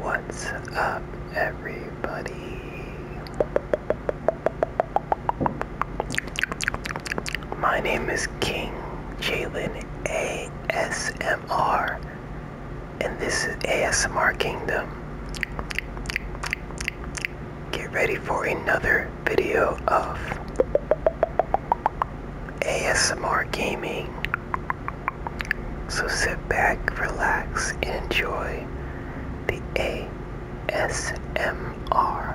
What's up, everybody? My name is King Jalen ASMR, and this is ASMR Kingdom. Get ready for another video of ASMR Gaming. So sit back, relax, and enjoy the ASMR.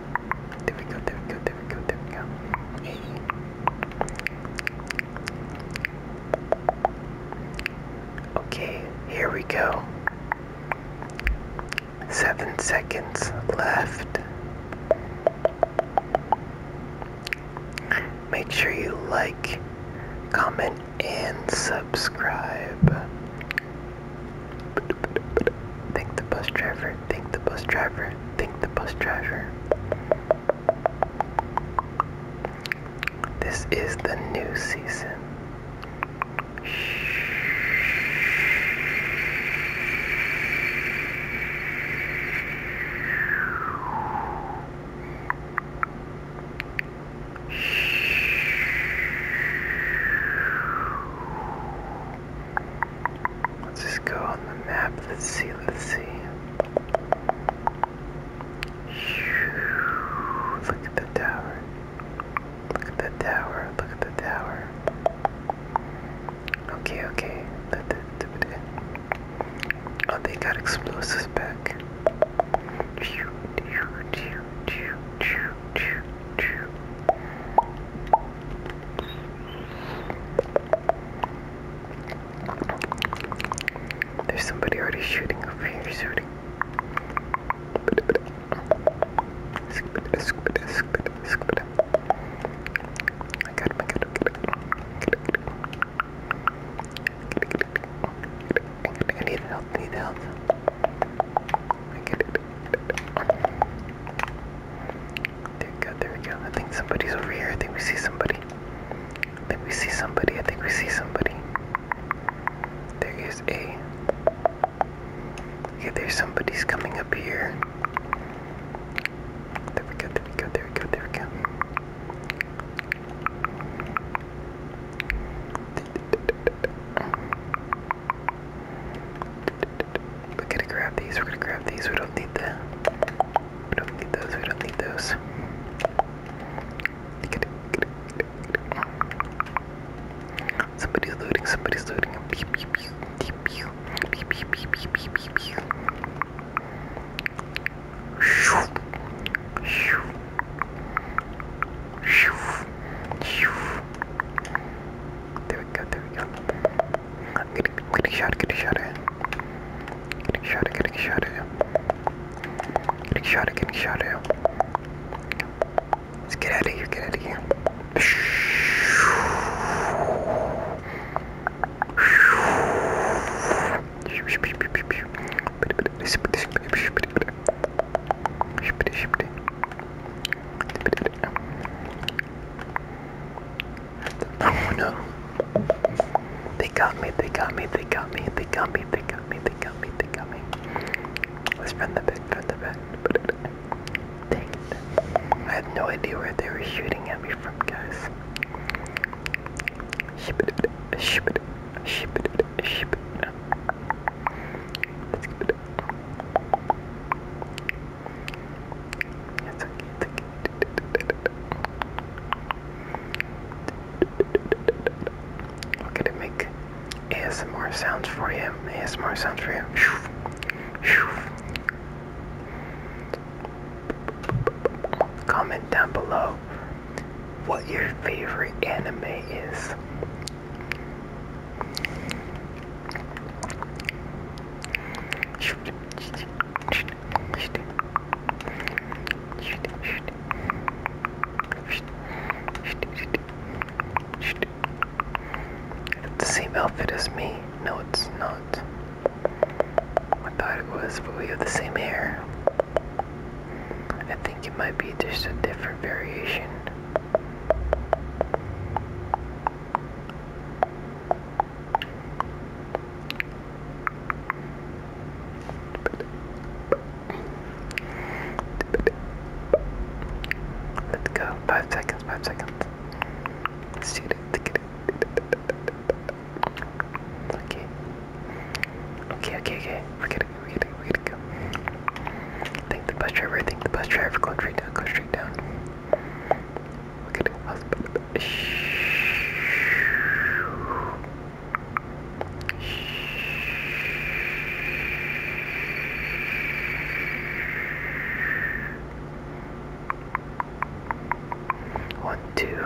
There we go, there we go, there we go, there we go. Okay, here we go. Seven seconds left. Make sure you like, comment, and subscribe. Think the bus driver. Think the bus driver. Think the bus driver. This is the new season. Let's just go on the map. Let's see. Let's see. Look at the tower. Look at the tower. Look at the tower. Okay, okay. Oh, they got explosives back. There's somebody already shooting over here, shooting. I got him, I got him, I need help, I need help. There we go, there we go. I think somebody's over here. I think we see somebody. I think we see somebody. I think we see somebody. There is a. Okay, there's somebody's coming up here. There we go, there we go, there we go, there we go. We're gonna grab these, we're gonna grab these, we don't need the we don't need those, we don't need those. Somebody's looting, somebody's looting. Pew, pew, pew, pew, pew, pew, pew, pew, pew, pew, pew. Shoo, shoo, there we go, there we go. I'm getting, I'm getting shot, getting shot at. Getting shot at, getting shot at. Getting shot at, getting shot at. Let's get out of here, get out of here. Ship it, ship it. Oh no. They got me, they got me, they got me, they got me, they got me, they got me, they got me. Let's run the back, run the back. Dang it. I had no idea where they were shooting at me from, guys. Ship it, ship it, ship it sheep. Let's keep it up. It's okay, it's okay. Okay, to make ASMR sounds for you. ASMR sounds for you. Comment down below what your favorite anime is. the same outfit as me. No, it's not. I thought it was, but we have the same hair. I think it might be just a different variation. Let's go. Five seconds, five seconds. Let's see it. Okay. Okay, okay, okay really, really, to go. Thank the bus driver, thank the bus driver. Go straight down, go straight down. One, two.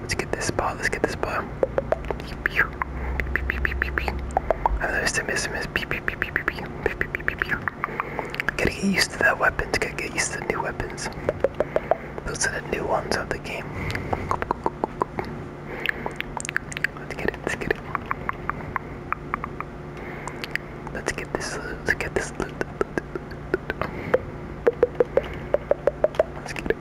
Let's get this ball. Let's get this ball. I noticed to miss him is beep beep beep beep beep beep beep beep beep beep beep. Gotta get used to that weapons. Gotta get used to the new weapons. Those are the new ones of the game. Let's get it. Let's get it. Let's get this. Let's get this. Let's it. Let's get it.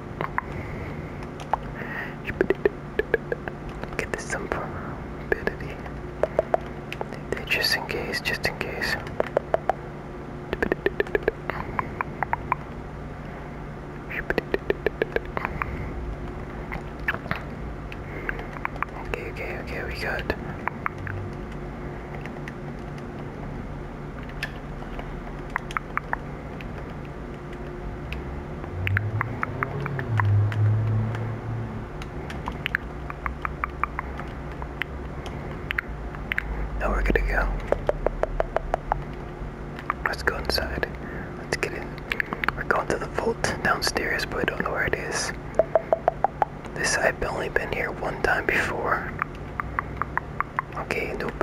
Get this stupidity. Just in case, just in case. Okay, okay, okay, we got now we're good to go. Let's go inside. Let's get in. We're going to the vault downstairs, but I don't know where it is. This I've only been here one time before. Okay, nope.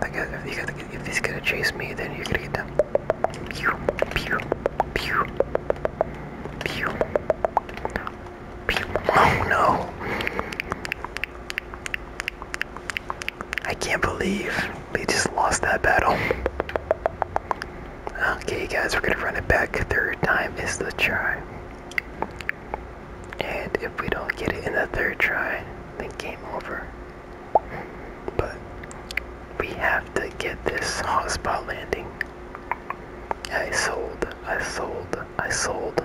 I got, if, you gotta, if he's gonna chase me, then you're gonna get down. Pew, pew, pew, pew, pew. Oh no! I can't believe we just lost that battle. Okay, guys, we're gonna run it back. Third time is the try. And if we don't get it in the third try, then game over. But we have to get this hotspot landing. I sold, I sold, I sold.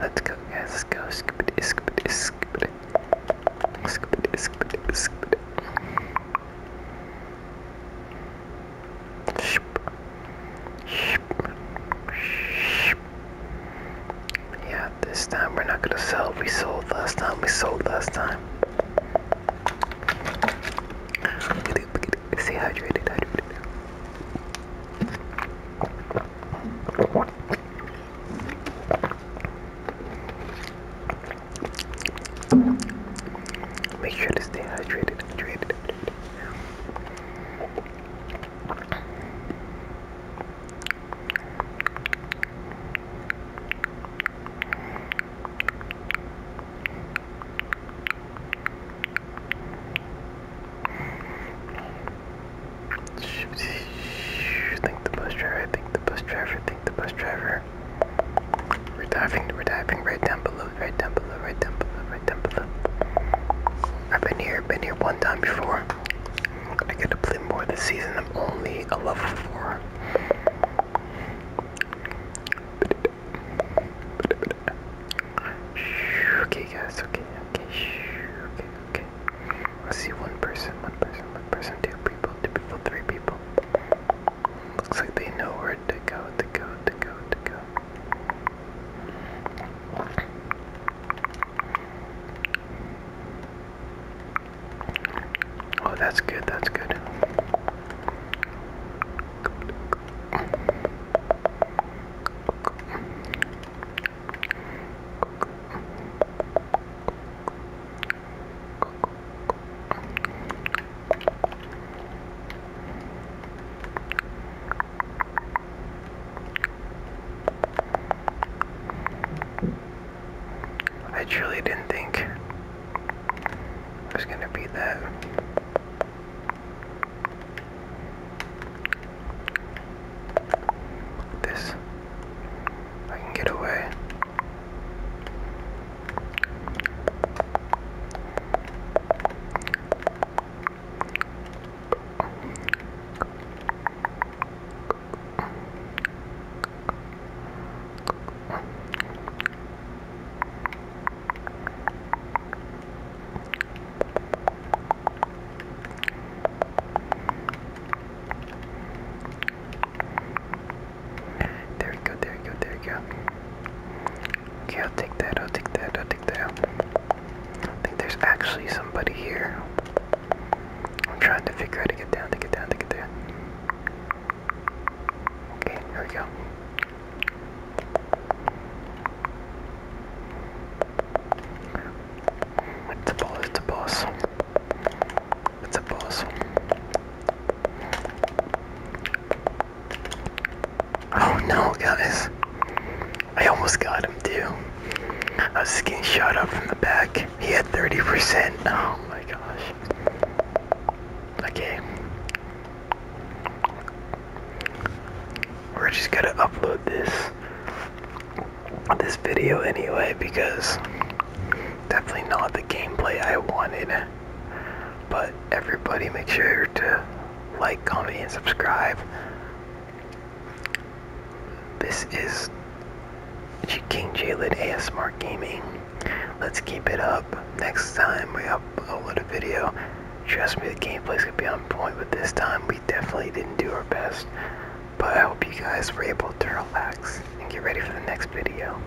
Let's go, guys. Let's go. Scoop it, scoop it, scoop it. Scoop it, scoop Yeah, this time we're not gonna sell. We sold last time. We sold last time. Stay hydrated, hydrated. Make sure to stay hydrated, hydrated, Think the bus driver, think the bus driver, think the bus driver. We're diving, we're diving right down below, right down below, right down below, right down below. I've been here, been here one time before. I get to play more this season. I'm only a level 4. Okay, guys. Okay, okay. Okay, okay. Let's see. One person. One person. One person. Two people. Two people. Three people. Looks like they know where to go. To go. To go. To go. Oh, that's good, that's good. I truly didn't think I was gonna be that. This I can get away. There we go, there we go, there we go. Okay, I'll take that, I'll take that, I'll take that. I think there's actually somebody here. I'm trying to figure out to get down, to get down, to get down. Okay, here we go. It's a boss, it's a boss. It's a boss. Oh no, guys. I almost got him too. A skin shot up from the back. He had 30%. Oh my gosh. Okay. We're just gonna upload this this video anyway because definitely not the gameplay I wanted. But everybody make sure to like, comment, and subscribe. This is King Jalen ASMR Gaming. Let's keep it up. Next time we upload a video, trust me, the gameplay's gonna be on point. But this time, we definitely didn't do our best. But I hope you guys were able to relax and get ready for the next video.